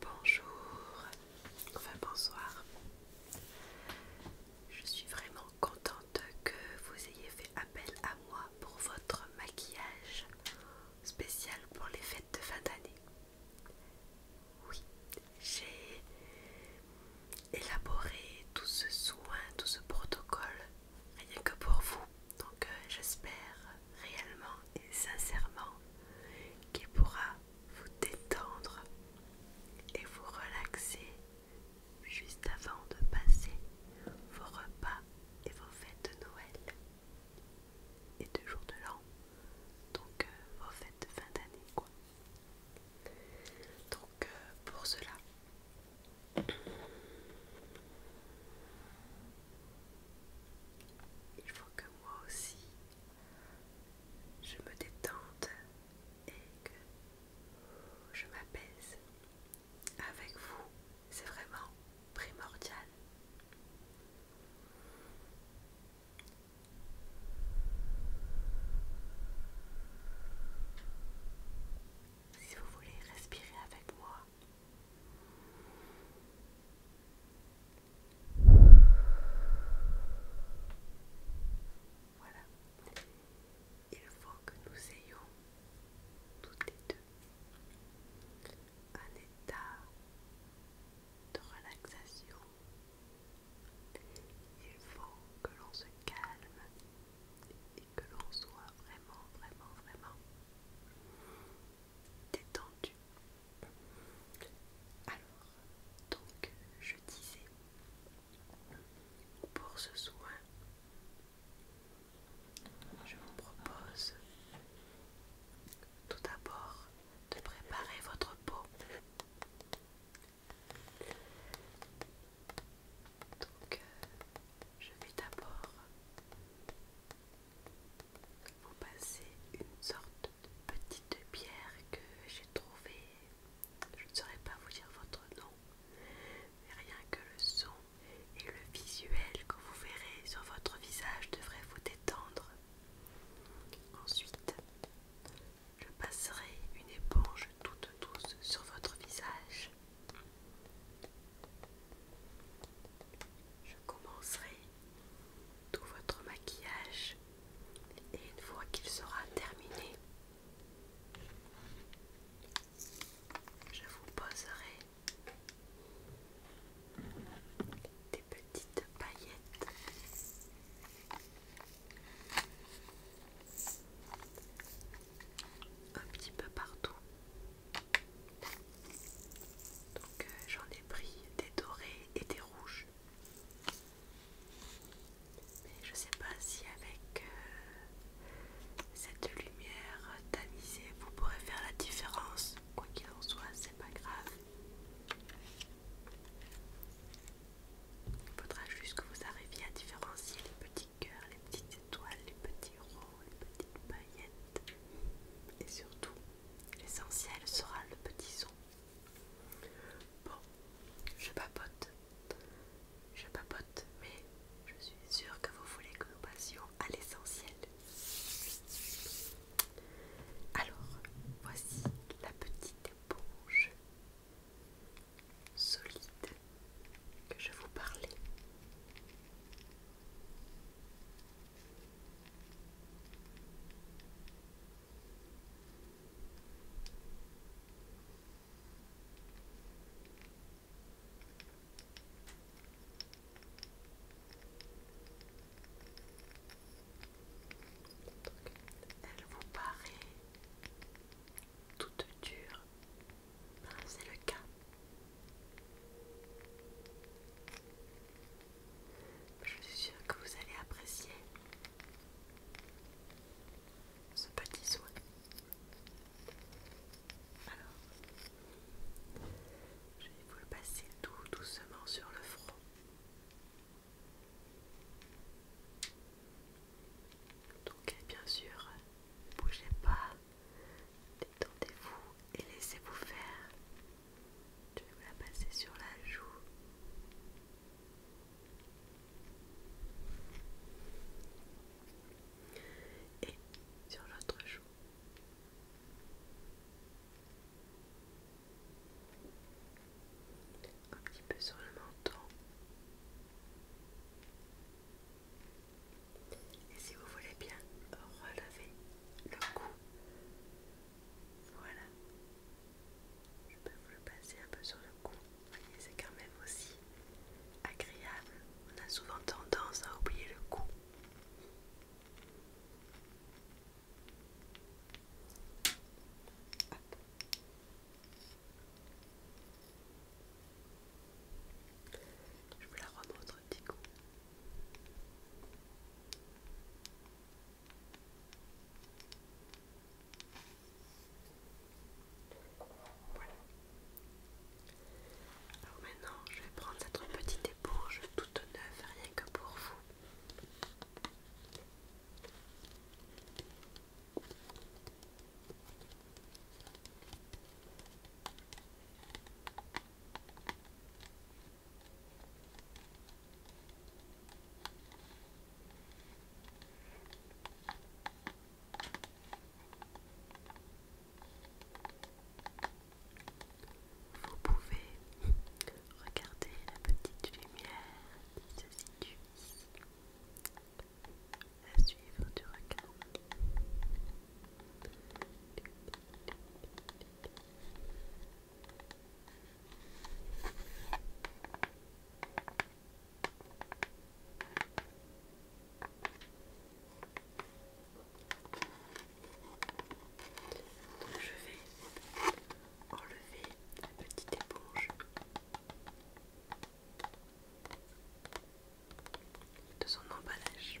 Bonjour, enfin bonsoir. Je suis vraiment contente que vous ayez fait appel à moi pour votre maquillage spécial pour les fêtes de fin d'année. Oui, j'ai élaborer tout ce soin, tout ce protocole, rien que pour vous. Donc euh, j'espère réellement et sincèrement qu'il pourra vous détendre et vous relaxer juste avant de passer vos repas et vos fêtes de Noël et de jour de l'an. Donc euh, vos fêtes de fin d'année quoi. Donc euh, pour cela, il faut que moi aussi je me détende et que je m'apaise avec vous. C'est vraiment primordial. Si vous voulez respirer avec moi. Voilà. Il faut que nous ayons toutes les deux un état de relaxation il faut que l'on se calme et que l'on soit vraiment, vraiment, vraiment détendu. Alors, donc, je disais, pour ce soin, je vous propose tout d'abord de préparer votre peau donc, euh, je vais d'abord vous passer une sorte de petite pierre que j'ai trouvée. Je ne saurais pas vous dire votre nom, mais rien que le son et le visuel que vous verrez sur votre visage devraient vous détendre. Ensuite, je passerai une éponge toute douce sur votre visage. Je commencerai tout votre maquillage et une fois qu'il sera terminé, je vous poserai des petites paillettes un petit peu partout. Donc euh, j'en ai pris des dorés et des rouges. Mais je sais pas si avec euh, cette lumière tamisée vous pourrez faire la différence. Quoi qu'il en soit, c'est pas grave. Il faudra juste que vous arriviez à différencier les petits cœurs, les petites étoiles, les petits ronds, les petites paillettes. Et surtout, l'essentiel sera le petit son. Bon, je papote. Je papote, mais je suis sûre que vous voulez que nous passions à l'essentiel. Alors, voici la petite éponge solide que je vous parlais. Elle vous paraît toute dure. C'est le cas. Je suis sûre que vous allez apprécier ce petit soin. Alors, je vais vous le passer tout doucement sur le front. Donc eh bien sûr, ne bougez pas, détendez-vous et laissez-vous faire. Je vais vous la passer sur la joue. Et sur l'autre joue un petit peu sur le menton. Et si vous voulez bien relever le cou, voilà. Je peux vous le passer un peu sur le cou. Voyez, c'est quand même aussi agréable. On a souvent tendance à oublier le cou. Je vais la remontre un petit coup. Voilà. Alors maintenant, je vais prendre cette petite éponge toute neuve, rien que pour vous. Vous pouvez Regardez la petite lumière qui se situe ici, à suivre du regard. je vais enlever la petite éponge de son emballage.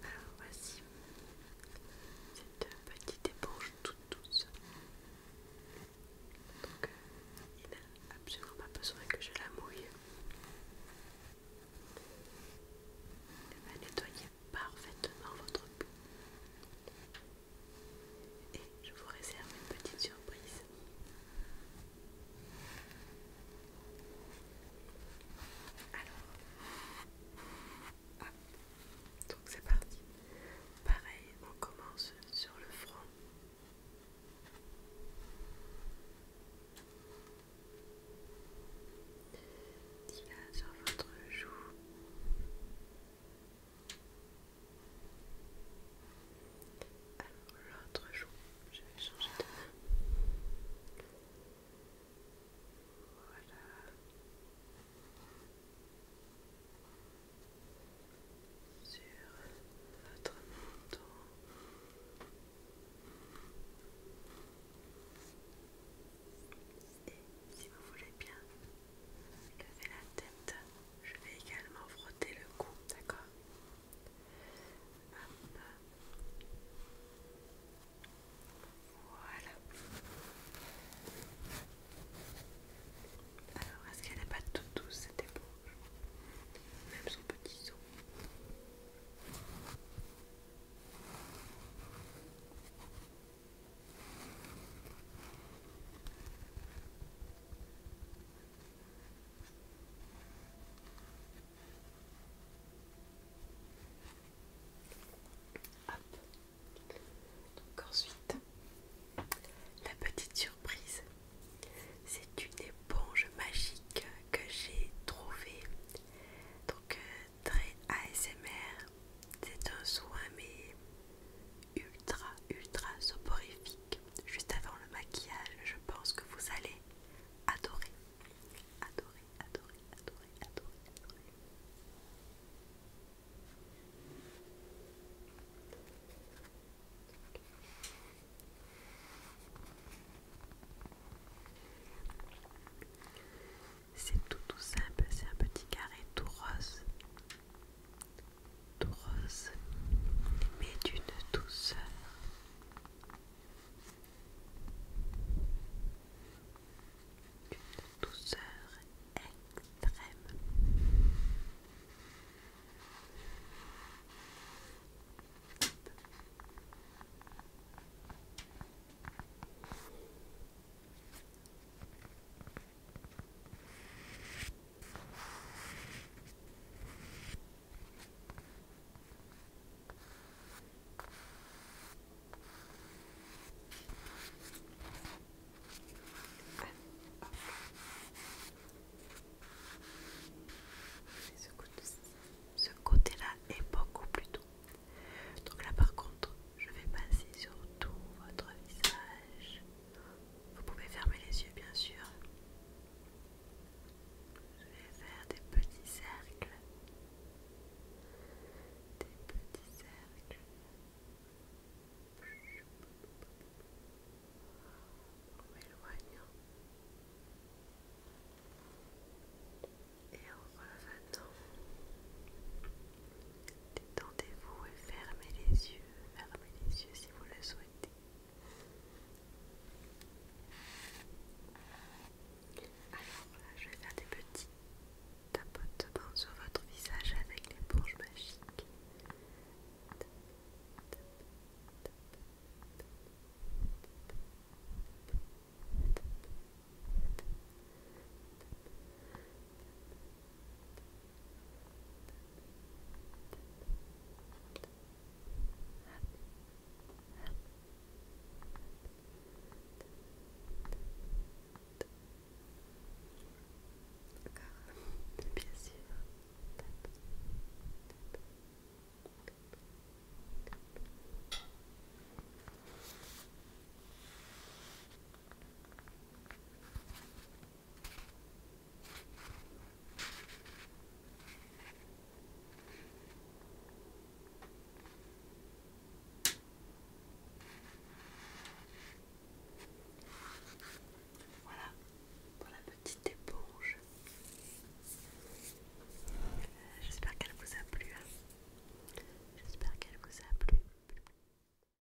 Alors voici cette petite éponge toute douce. Donc euh, il n'a absolument pas besoin que je la mouille. Elle va nettoyer parfaitement votre peau. Et je vous réserve une petite surprise. Alors, hop, donc c'est parti. Pareil, on commence sur le front. Dis là sur votre joue l'autre jour, je vais changer de main. Voilà. Sur votre menton. Et si vous voulez bien, lever la tête. Je vais également frotter le cou, d'accord Voilà. Alors, est-ce qu'elle n'est pas toute douce cette éponge Même son petit seau ensuite, la petite surprise, c'est une éponge magique que j'ai trouvée. Donc euh, très ASMR, c'est un soin mais ultra ultra soporifique. Juste avant le maquillage, je pense que vous allez adorer. Adorer, adorer, adorer, adorer, adorer. C'est tout tout simple, c'est un petit carré tout rose rose, mais d'une douceur. D'une douceur extrême. Ce côté-là est beaucoup plus doux. Donc là par contre, je vais passer sur tout votre visage. Vous pouvez fermer les yeux bien sûr. Je vais faire des petits cercles. Des petits cercles. En m'éloignant. Et en revenant. Détendez-vous et fermez les yeux. Fermez les yeux si vous le souhaitez. Alors là, je vais faire des petits tapotements sur votre visage avec les magique. magiques. D'accord, bien sûr. Voilà. Voilà pour la petite éponge. Euh, j'espère qu'elle vous a plu. Hein. J'espère qu'elle vous a plu.